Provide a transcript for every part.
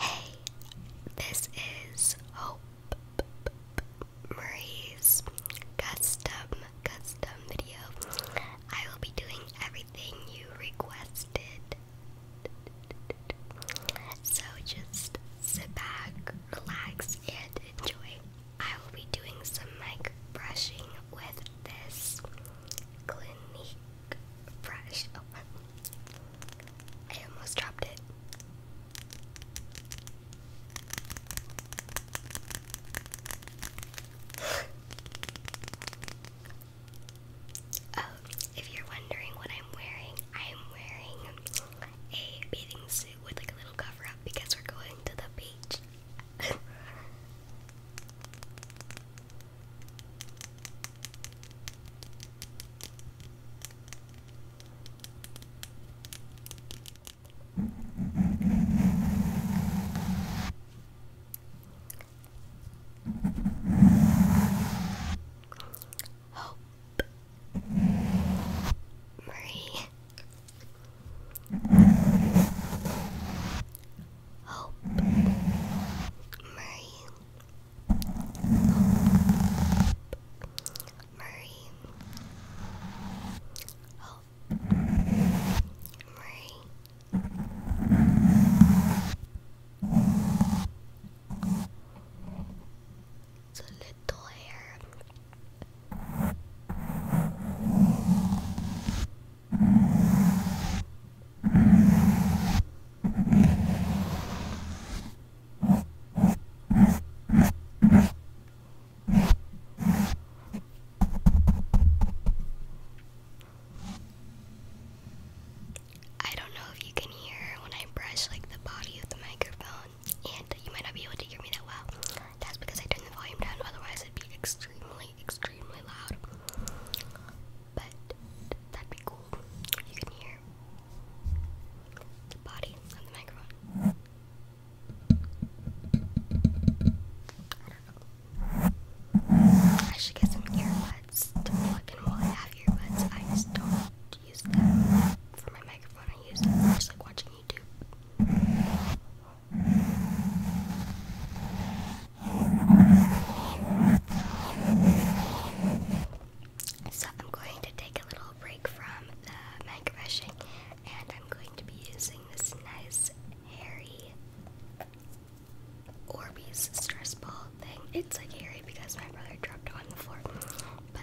Hey, this is Hope Marie's custom custom video. I will be doing everything you requested. So just sit back, relax, and enjoy. I will be doing some mic brushing with this Clinique brush. Oh, I almost dropped it. oh, if you're wondering what I'm wearing, I'm wearing a bathing suit with like a little cover up because we're going to the beach. Hope Marie Hope Murray Hope Hope Murray It's a little hair. I don't know if you can hear when I brush like the body of the microphone, and you might not be able to hear me that well. That's because I turned the volume down, otherwise it'd be extremely, extremely loud. But that'd be cool. You can hear the body on the microphone. I should get some earbuds to while I have earbuds. I just don't use them for my microphone. I use just like watching YouTube. So I'm going to take a little break from the mic brushing and I'm going to be using this nice hairy Orbeez stress ball thing. It's like hairy because my brother dropped it on the floor. But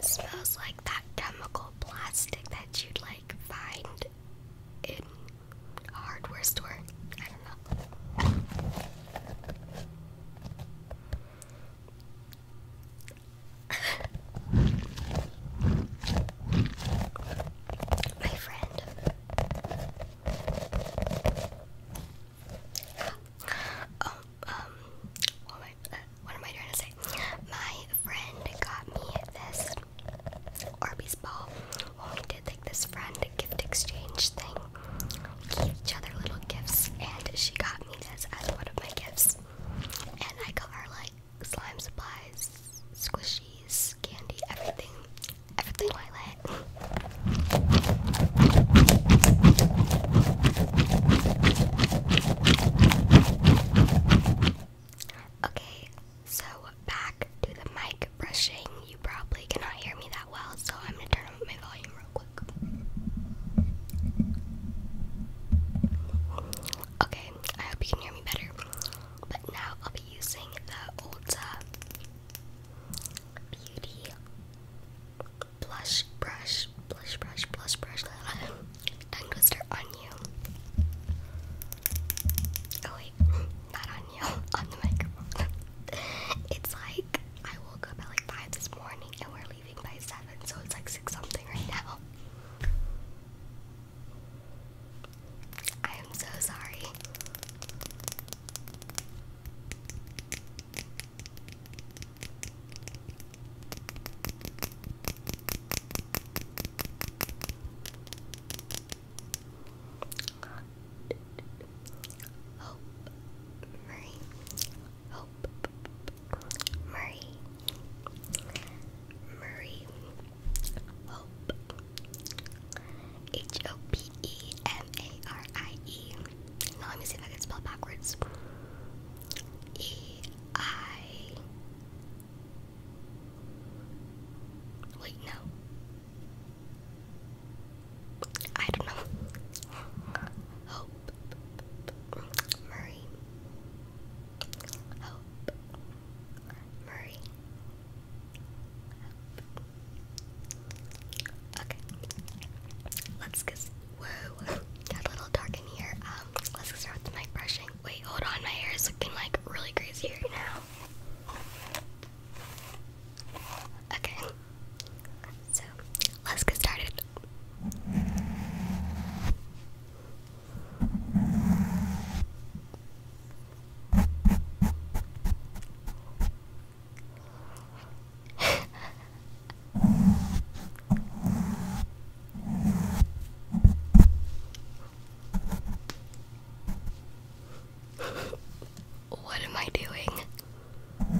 smells like that chemical plastic that you'd like find in hardware store. I don't know. my friend. Oh, um, uh, what am, I, trying to say? My friend got me this Arby's ball when we did like this friend gift exchange thing. We each other little gifts, and she got me this as one of my gifts. And I got her like slime supplies, squishies, candy, everything. Everything Twilight. Okay, so back to the mic brushing. You probably cannot hear me that well, so I'm gonna turn up my volume real quick. Okay, I hope you can hear me better. But now I'll be using the Ulta Beauty Blush Brush, Blush Brush, Blush Brush, Tongue Twister on you. Oh wait, not on you, on the microphone. it's like, I woke up at like 5 this morning and we're leaving by 7, so it's like 6 something right now. I am so sorry. Hope, Murray, Hope, Murray, Murray, Hope, H O P E M A R I E. Now let me see if I can spell backwards. E I. Wait, no. I don't know. Murray Hope Murray Hope Okay Let's get whoa got a little dark in here. Um let's get start with the brushing. Wait, hold on, my hair is looking like really crazy right now. Okay. So let's get started. what am I doing? Hope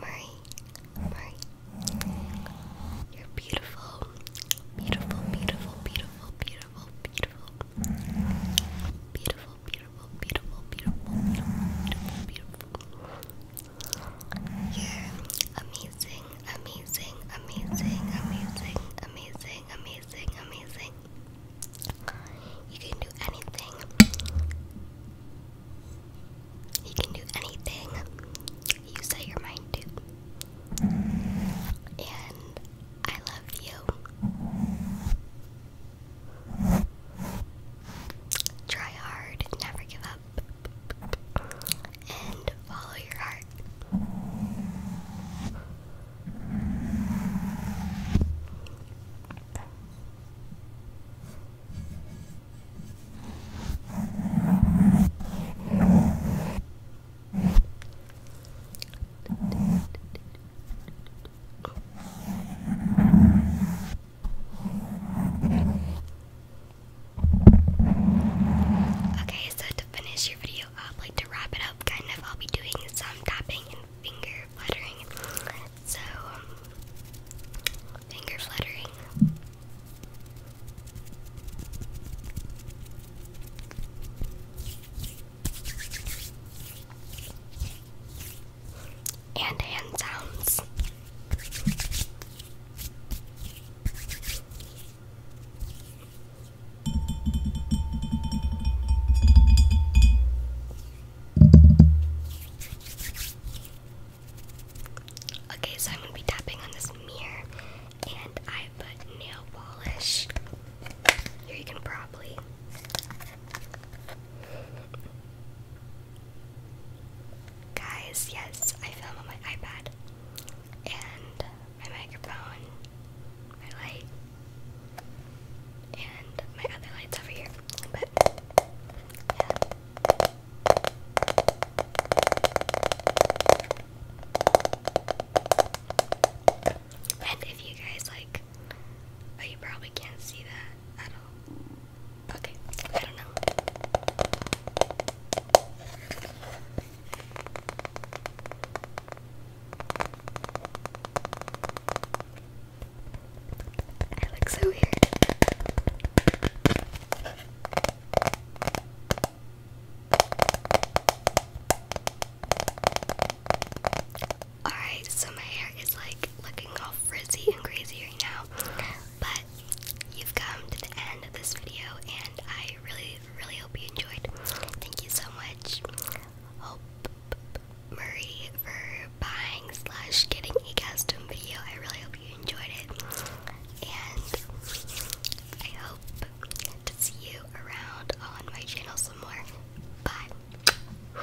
Murray, Murray, you're beautiful, beautiful, beautiful, beautiful, beautiful, beautiful, beautiful, beautiful, beautiful, beautiful, beautiful, beautiful. You're amazing, amazing, amazing, amazing, amazing, amazing, amazing. You can do anything. You can do anything you set your mind to. And I love you. Try hard, never give up and follow your heart. Okay, so to finish your video up, like to wrap it up, kind of, I'll be doing some tapping and finger fluttering. So, finger fluttering. And hand sounds. Okay, so I'm going to be tapping on this mirror and I put nail polish. Here you can probably Guys, yes, I film on my iPad and my microphone, my light, and my other lights over here. But yeah. And if you guys like, oh, you probably can't see that at all. Okay, I don't know. I look so weird. Alright, so my hair is like looking all frizzy and crazy right now, but you've come to the end of this video, and I really, really hope you enjoyed. Thank you so much, Hope Murray, for buying slash getting a custom video. I really hope you enjoyed it, and I hope to see you around on my channel some more. Bye.